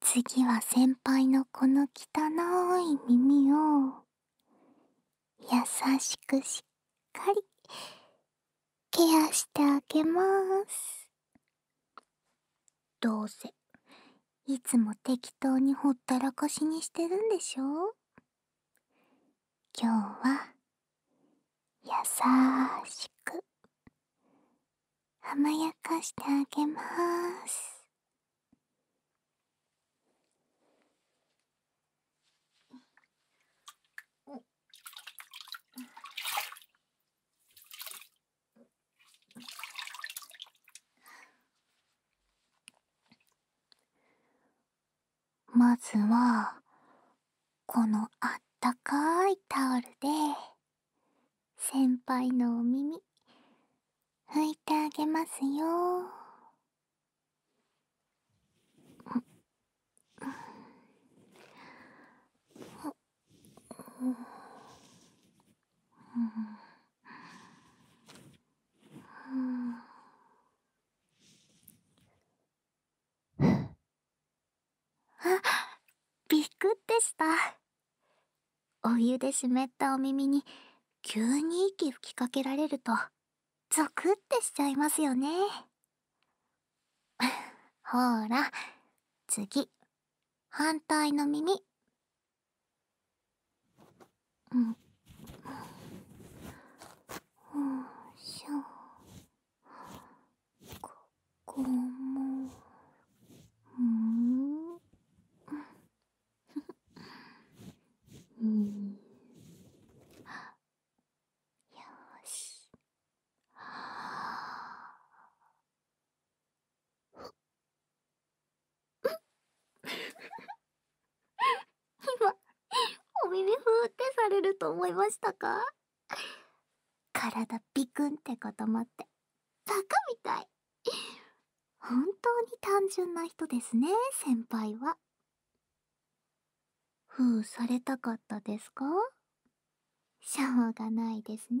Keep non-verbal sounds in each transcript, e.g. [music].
次は先輩のこの汚い耳を優しくしっかりケアしてあげますどうせいつも適当にほったらかしにしてるんでしょ今日はや優しく甘やかしてあげますん、まずはこのあったかいタオルで先輩のお耳拭いてあげますよん、ん、ん、ん……あ、びっくってしたお湯で湿ったお耳に急に息吹きかけられるとゾクってしちゃいますよね [laughs] ほら次反対の耳うんしょここもうんうんよし今、お耳ふーってされると思いましたか体ビクンって固まって、バカみたい。本当に単純な人ですね、先輩は。ふうされたかったですかしょうがないですね。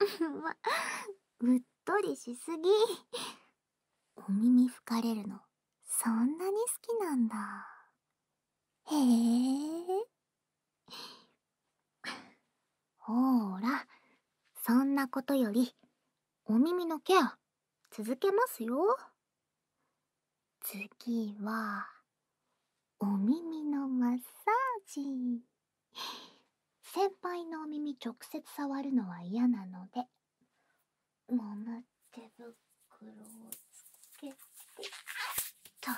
わ [laughs] うっとりしすぎお耳吹かれるのそんなに好きなんだへえほーらそんなことよりお耳のケア続けますよ次はお耳のマッサージ。先輩のお耳直接触るのは嫌なのでもむ手袋をつけてと。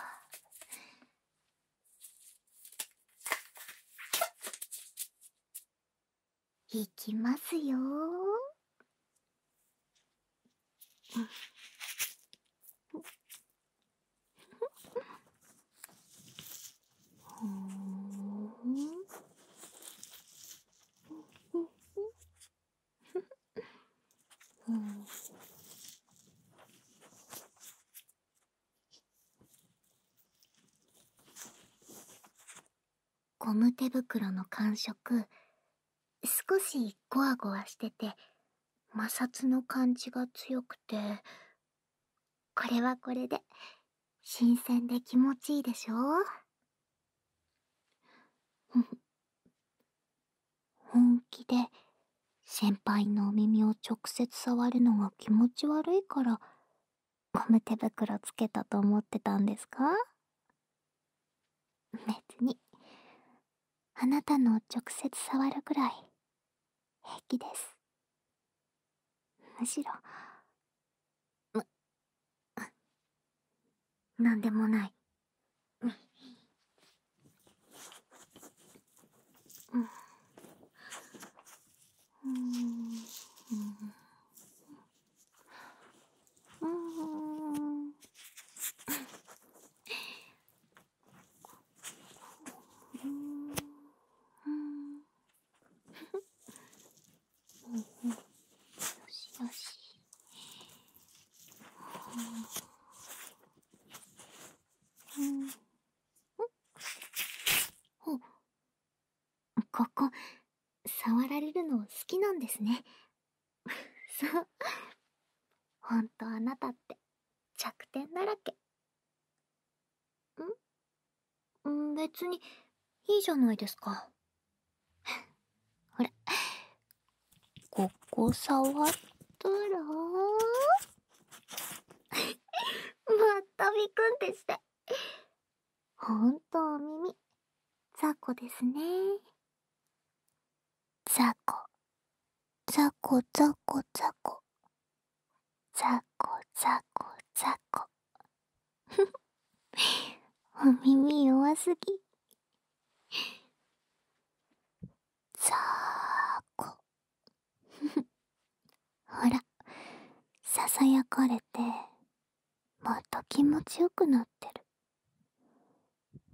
いきますよー。ほうんゴム手袋の感触少しゴワゴワしてて摩擦の感じが強くてこれはこれで新鮮で気持ちいいでしょう本気で先輩のお耳を直接触るのが気持ち悪いからゴム手袋つけたと思ってたんですか別にあなたの直接触るくらい平気ですむしろむなんでもないうんうんんうんうんうんよしよしうんんおここ触られるの好きなんですねそうほんとあなたって弱点だらけん別にいいじゃないですかほらここ触ったらまたびくんでしてほんとお耳雑魚ですねザコザコザコザコザコザコザコお耳弱すぎザーコほらささやかれてもっと気持ちよくなってる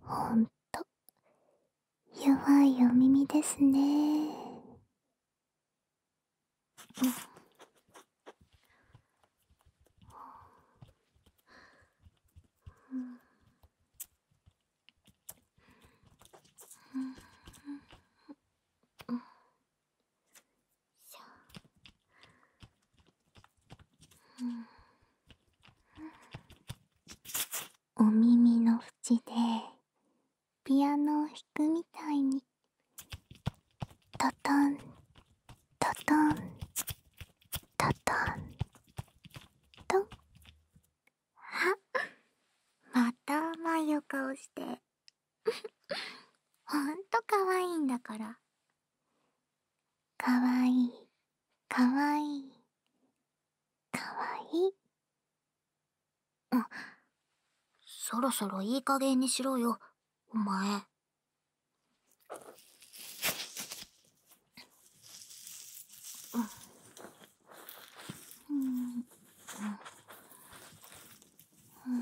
ほんと弱いお耳ですねうん。お耳の縁でピアノを弾くみたいにトトントトントトントンあまた甘いお顔してほんとかわいいんだからかわいいかわいいかわいいそろそろいい加減にしろよお前うんうんうん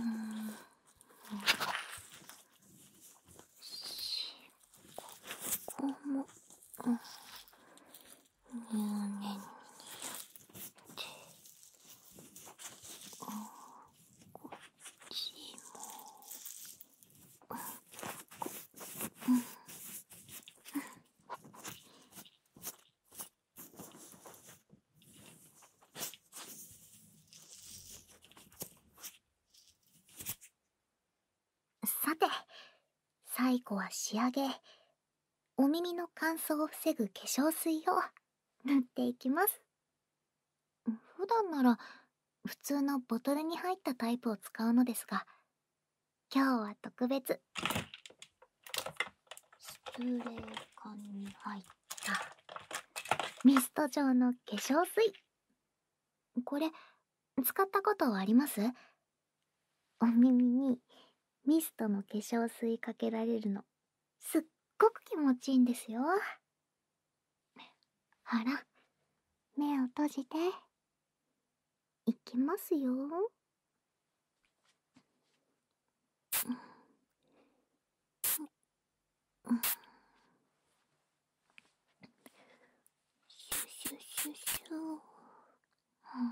しこも、うん入念にやってこっちも、うんうんさて最後は仕上げお耳の乾燥を防ぐ化粧水を塗っていきます普段なら普通のボトルに入ったタイプを使うのですが今日は特別スプレー缶に入ったミスト状の化粧水これ使ったことありますお耳にミストの化粧水かけられるのすっごく気持ちいいんですよあら目を閉じていきますよシュシュシュシュふん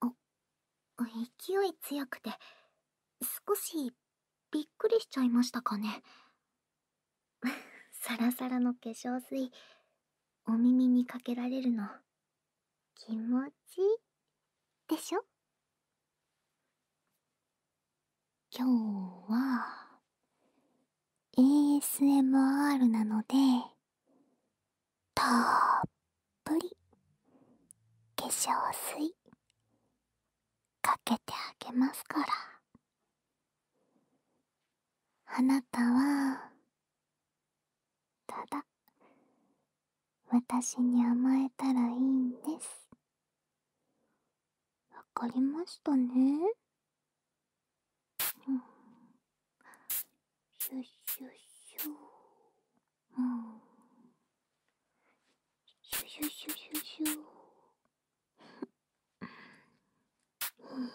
あ勢い強くて少しびっくりしちゃいましたかねサラサラの化粧水お耳にかけられるの気持ちいいでしょ今日は ASMR なのでたっぷり化粧水かけてあげますからあなたはただ私に甘えたらいいんですわかりましたね、うん、シュッシュッシュうんシュシュシュシュシュうん、こ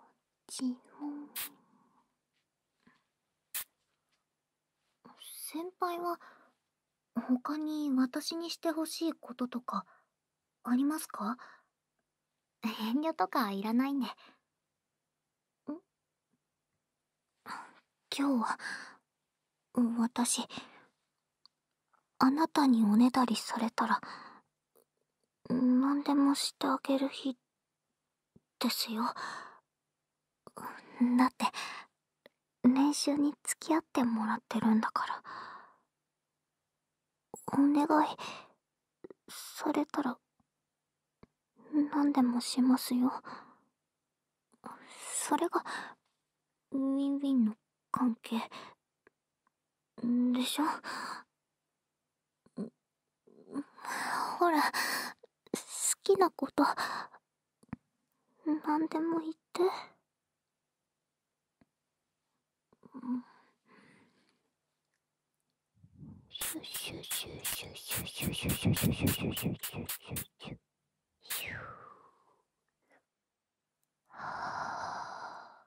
っちも先輩は他に私にしてほしいこととかありますか遠慮とかいらないんでん今日は私あなたにおねだりされたら何でもしてあげる日ですよだって練習に付き合ってもらってるんだからお願いされたら何でもしますよそれがウィンウィンの関係でしょほら好きなことなんでも言って。シュシュシュシュシュシュシュシュシュシュシュシュシュシュシュはあ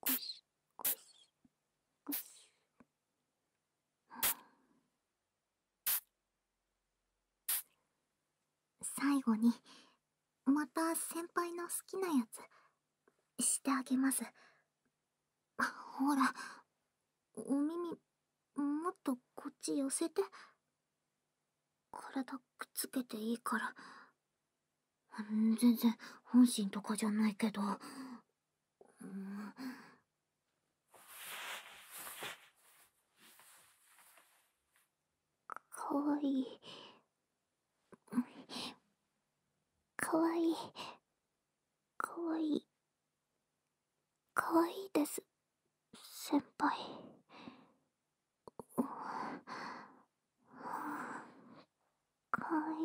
ゴシゴシゴシ最後にまた先輩の好きなやつしてあげますほらお耳もっとこっち寄せて体くっつけていいから全然本心とかじゃないけど、うん、かわいいかわいいかわいいかわいいです先輩かい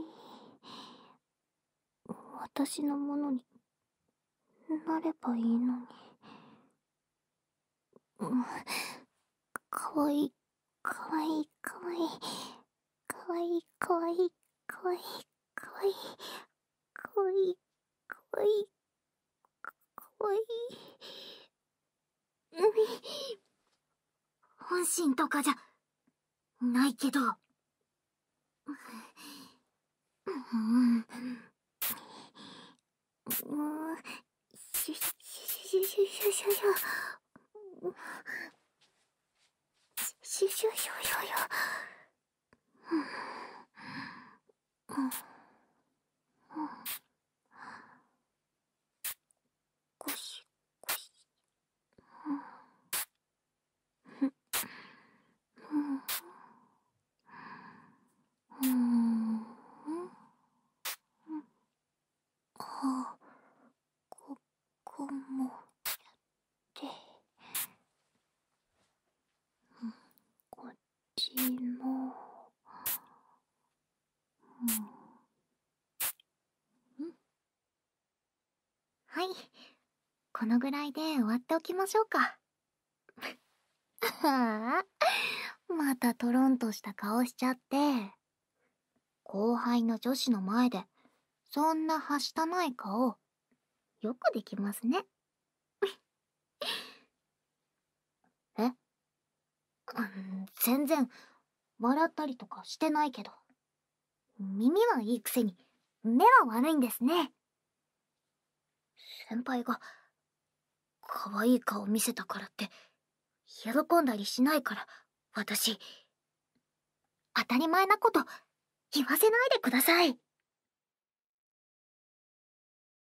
私のものになればいいのにかわいいかわいいかわいいかわいいかわいいかわいいかわいいかわいいかわいいかわいい本心とかじゃないけど。うん。んしゅしゅしゅしゅしゅしゅしゅ。しゅしゅしゅしゅしゅ。ゴシゴシうんあここもやってこっきも、うん、んはいこのぐらいで終わっておきましょうかああ [laughs] またトロンとした顔しちゃって後輩の女子の前でそんなはしたない顔よくできますねえ [laughs] 全然笑ったりとかしてないけど耳はいいくせに目は悪いんですね先輩が可愛い顔見せたからって喜んだりしないから私当たり前なこと言わせないでください